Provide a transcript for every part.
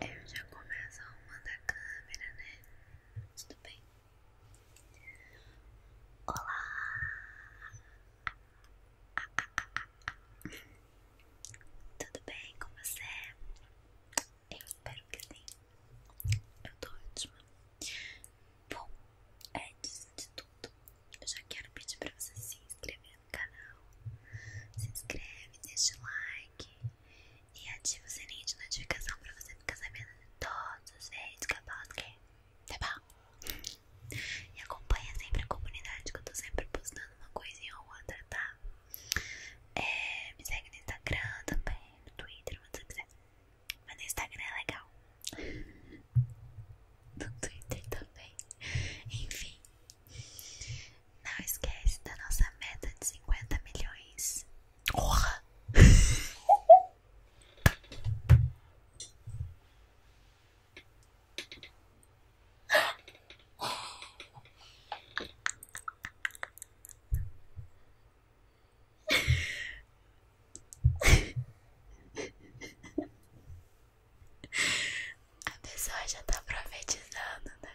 Eu já começo a arrumar a câmera, né? Tudo bem? Olá! Tudo bem com você? Eu espero que sim. Eu tô ótima. Bom, antes de tudo, eu já quero pedir pra você se inscrever no canal, se inscreve, deixa o like e ativa o sininho de notificação pra você ficar sabendo de todos os vídeos que eu postei, tá bom? E acompanha sempre a comunidade que eu tô sempre postando uma coisa ou outra, tá? É, me segue no Instagram também, no Twitter, onde você quiser. Mas no Instagram é legal. No Twitter também. Enfim, não esquece da nossa meta de cinquenta milhões. A pessoa já tá profetizando, né?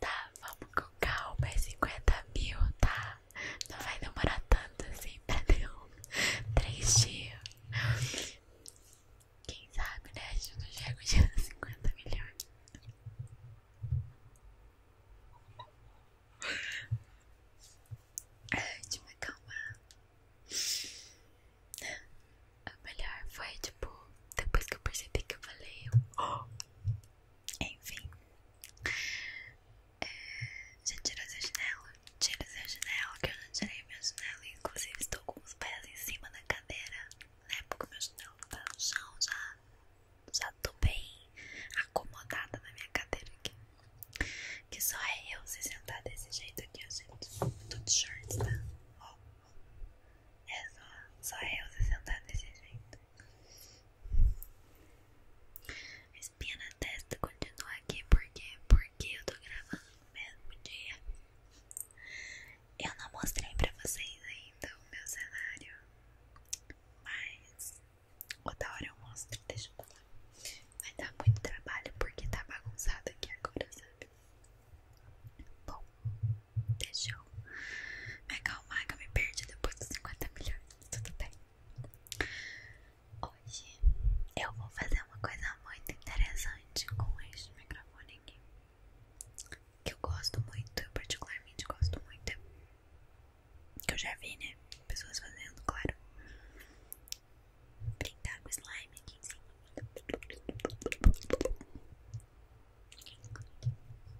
tá, vamos com calma, é 50 mil, tá? Não vai demorar tanto assim pra nenhum. Três dias. Quem sabe, né? A gente não chega o dia dos 50 milhões de me acalmar. o melhor foi tipo, depois que eu percebi que eu falei, enfim, é, já tirou essa janela, tira essa janela, que eu já tirei minha janela, inclusive estou com os pés em cima da cadeira, né, porque meu janela tá no chão já já tô bem acomodada na minha cadeira aqui. Que só é eu se sentar desse jeito aqui, ó, gente. Eu tô de shorts, tá? Ó, É só, só é eu se sentar desse jeito. A espinha na testa continua aqui porque, porque eu tô gravando no mesmo dia. Eu não mostrei pra vocês ainda o meu cenário, mas Outra hora eu mostro, deixa eu falar. Vai dar muito trabalho porque tá bagunçado aqui agora, sabe? Bom, deixa eu me acalmar que eu me perdi depois dos 50 milhões, tudo bem? Hoje eu vou fazer uma coisa muito interessante com este microfone aqui. Que eu gosto muito, eu particularmente gosto muito. Que eu já vi, né? Pessoas fazendo, claro. Brincar com slime aqui em cima.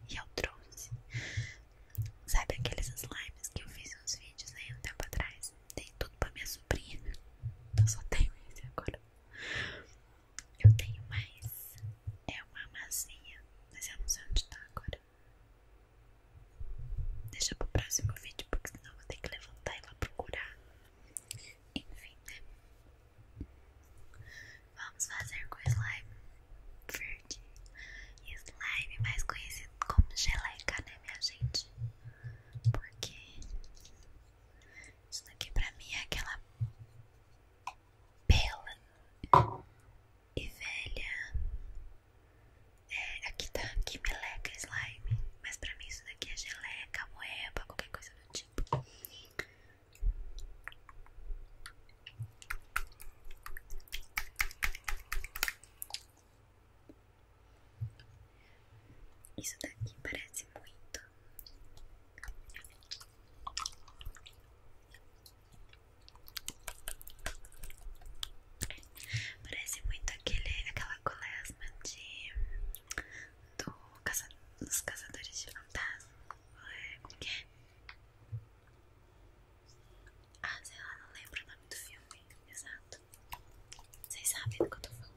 E eu trouxe. Sabe aqueles slimes que eu fiz uns vídeos aí né, um tempo atrás? Tem tudo pra minha sobrinha. Eu só tenho esse agora. Eu tenho mais. É uma massinha, mas eu não sei onde tá agora. Deixa pro próximo vídeo, porque senão eu vou ter que levantar e lá procurar. Enfim, né? Vamos fazer com slime verde. E slime é mais conhecido como geleca, né, minha gente? Porque isso daqui pra mim é aquela pela e velha. É, aqui tá que meleca slime, mas pra mim isso daqui é geleca, moeba, qualquer coisa do tipo. Isso daqui parece muito Parece muito aquele, aquela colesma de do caça, dos caçadores de fantasma. É, como é? Ah, sei lá, não lembro o nome do filme. Exato. Vocês sabem do que eu tô falando.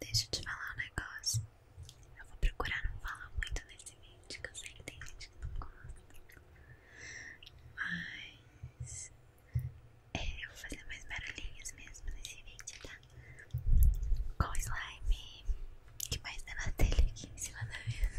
Deixa eu te falar um negócio. Eu vou procurar não falar muito nesse vídeo, que eu sei que tem gente que não gosta. Mas é, eu vou fazer mais barulhinhos mesmo nesse vídeo, tá? Com slime o que mais tem na telha aqui em cima da mesa?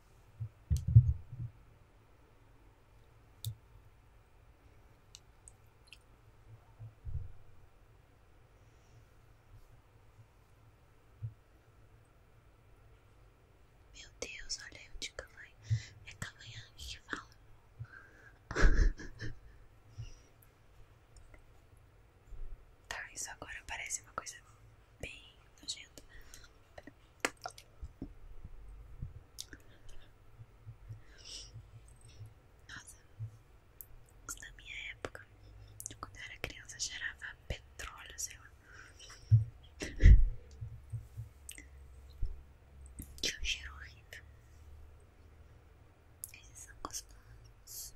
Meu Deus, olha eu de Kavanha. É Kavanha que fala. Tá, isso agora parece uma coisa bem nojenta. Nossa, na minha época, quando eu era criança, cheirava petróleo, sei lá. Que é um cheiro horrível. Esses são gostosos.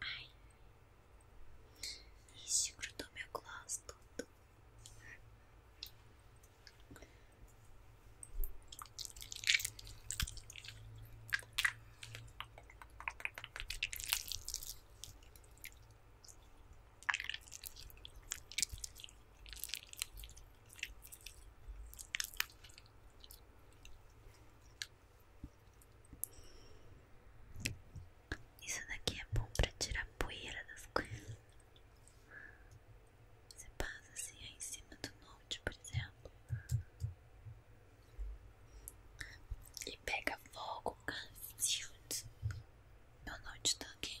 Ai, isso grudou meu gloss isso daqui é bom para tirar poeira das coisas. Você passa assim aí em cima do note, por exemplo, e pega fogo, meu note tá aqui.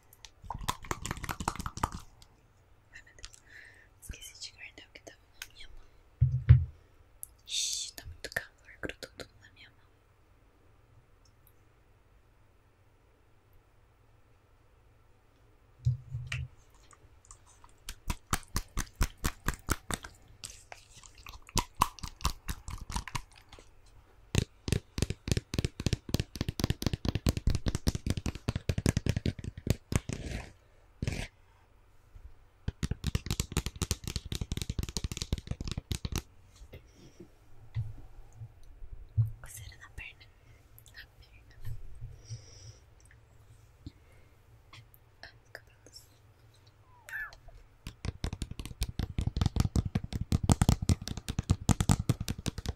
Ai, meu Deus. Esqueci de guardar o que tava na minha mão. Ixi, tá muito calor, grudou tudo na minha mão. Coceira na perna, na perna.